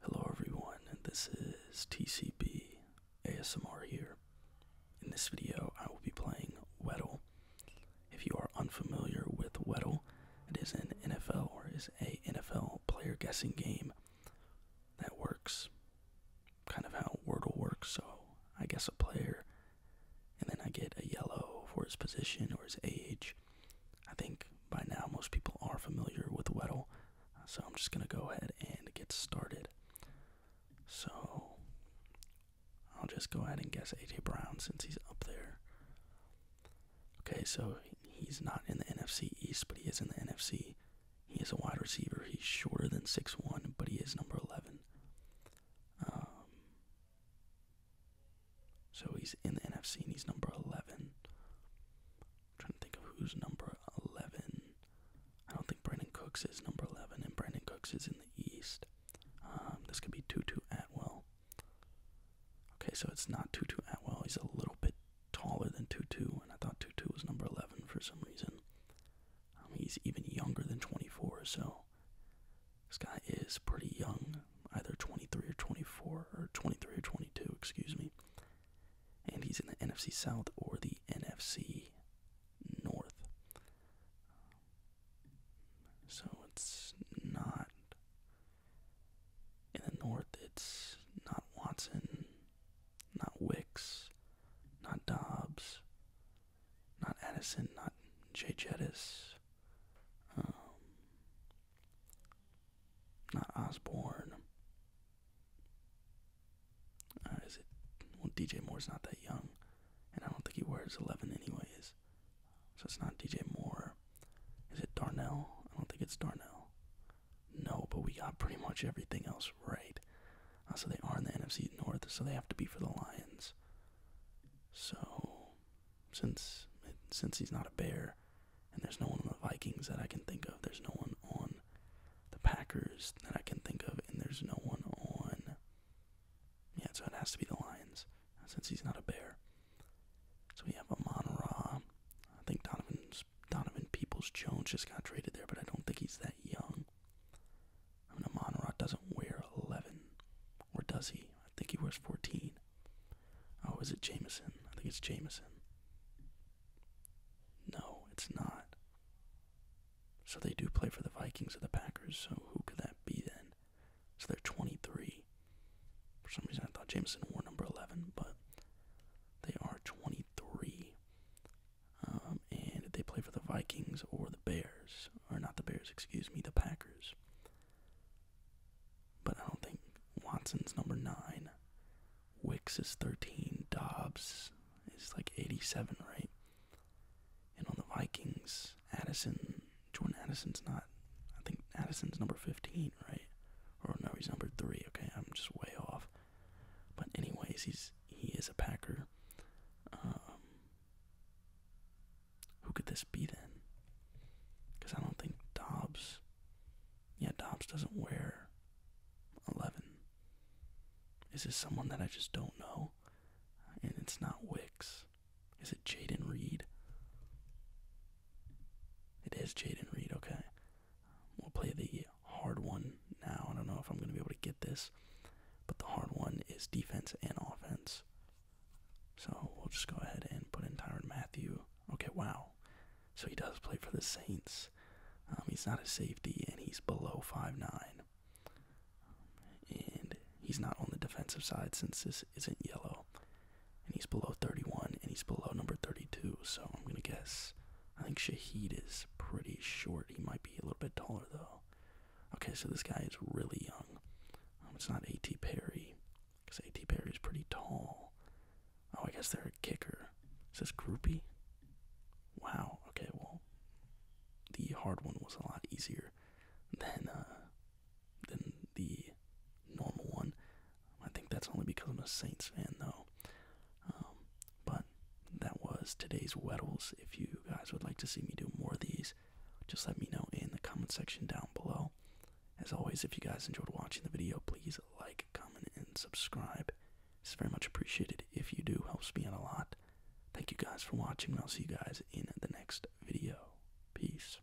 Hello everyone, and this is TCB ASMR here. In this video, I will be playing Weddle. If you are unfamiliar with Weddle, it is an NFL or is a NFL player guessing game that works kind of how Wordle works. So I guess a player, and then I get a yellow for his position or his age, I think by now most people are familiar with Weddle, so I'm just going to go ahead and get started. So I'll just go ahead and guess AJ Brown since he's up there. Okay, so he's not in the NFC East, but he is in the NFC. He is a wide receiver. He's shorter than six one, but he is number 11. Um, so he's in the NFC and he's number 11. I'm trying to think of who's number 11. I don't think Brandon Cooks is number 11, and Brandon Cooks is in the East. Um, this could be Tutu Atwell. Okay, so it's not Tutu Atwell. He's a little bit taller than Tutu, and I thought Tutu was number 11 for some reason. Um, he's even younger than 24, so this guy is pretty young, either 23 or 24, or 23 or 22, excuse me. And he's in the NFC South or the NFC North. So it's not. In the North, it's not Watson, not Wicks, not Dobbs, not Addison, not Jay Jettis, um, not Osborne. Uh, is it? Well, DJ Moore's not that young, and I don't think he wears 11 anyways. So it's not DJ Moore. Is it Darnell? I don't think it's Darnell. No, but we got pretty much everything else right. Uh, so they are in the NFC North, so they have to be for the Lions. So, since since he's not a bear, and there's no one on the Vikings that I can think of, there's no one on the Packers that I can think of, and there's no one on. Yeah, so it has to be the Lions, since he's not a bear. So we have a Ra. I think Donovan's, Donovan Peoples Jones just got traded there, but I don't think he's that young. I mean, Amon doesn't wear 11. Or does he? I think he wears 14. Oh, is it Jamison? I think it's Jamison. No, it's not. So they do play for the Vikings or the Packers, so who could that be then? So they're 23. For some reason, I thought Jamison wore number 11, but they are 23. Um, and they play for the Vikings or the Bears, or not the Bears, excuse me, the Packers. But I don't think Watson's number nine. Wicks is 13. Dobbs is like 87, right? And on the Vikings, Addison, Jordan Addison's not, I think Addison's number 15, right? Or no, he's number three. Okay, I'm just way off. But anyways, he's he is a Packer. Um, who could this be then? Because I don't think Dobbs. Yeah, Dobbs doesn't wear eleven. Is this someone that I just don't know? And it's not Wicks. Is it Jaden Reed? It is Jaden Reed. Okay, We'll play the hard one now. I don't know if I'm going to be able to get this, but the hard one is defense and offense. So we'll just go ahead and put in Tyron Matthew. Okay, wow. So he does play for the Saints. Um, he's not a safety, and he's below five nine, And he's not on the defensive side since this isn't yellow and he's below 31, and he's below number 32. So I'm gonna guess. I think Shahid is pretty short. He might be a little bit taller though. Okay, so this guy is really young. Um, it's not A.T. Perry, because A.T. Perry is pretty tall. Oh, I guess they're a kicker. Is this groupie? Wow. Okay, well, the hard one was a lot easier than uh, than the normal one. I think that's only because I'm a Saints fan, though. Um, but that was today's Weddles. If you guys would like to see me do more of these, just let me know in the comment section down below. As always, if you guys enjoyed watching the video, please like, comment, and subscribe. It's very much appreciated. If you do, helps me out a lot. Thank you guys for watching, and I'll see you guys in the next video. Peace.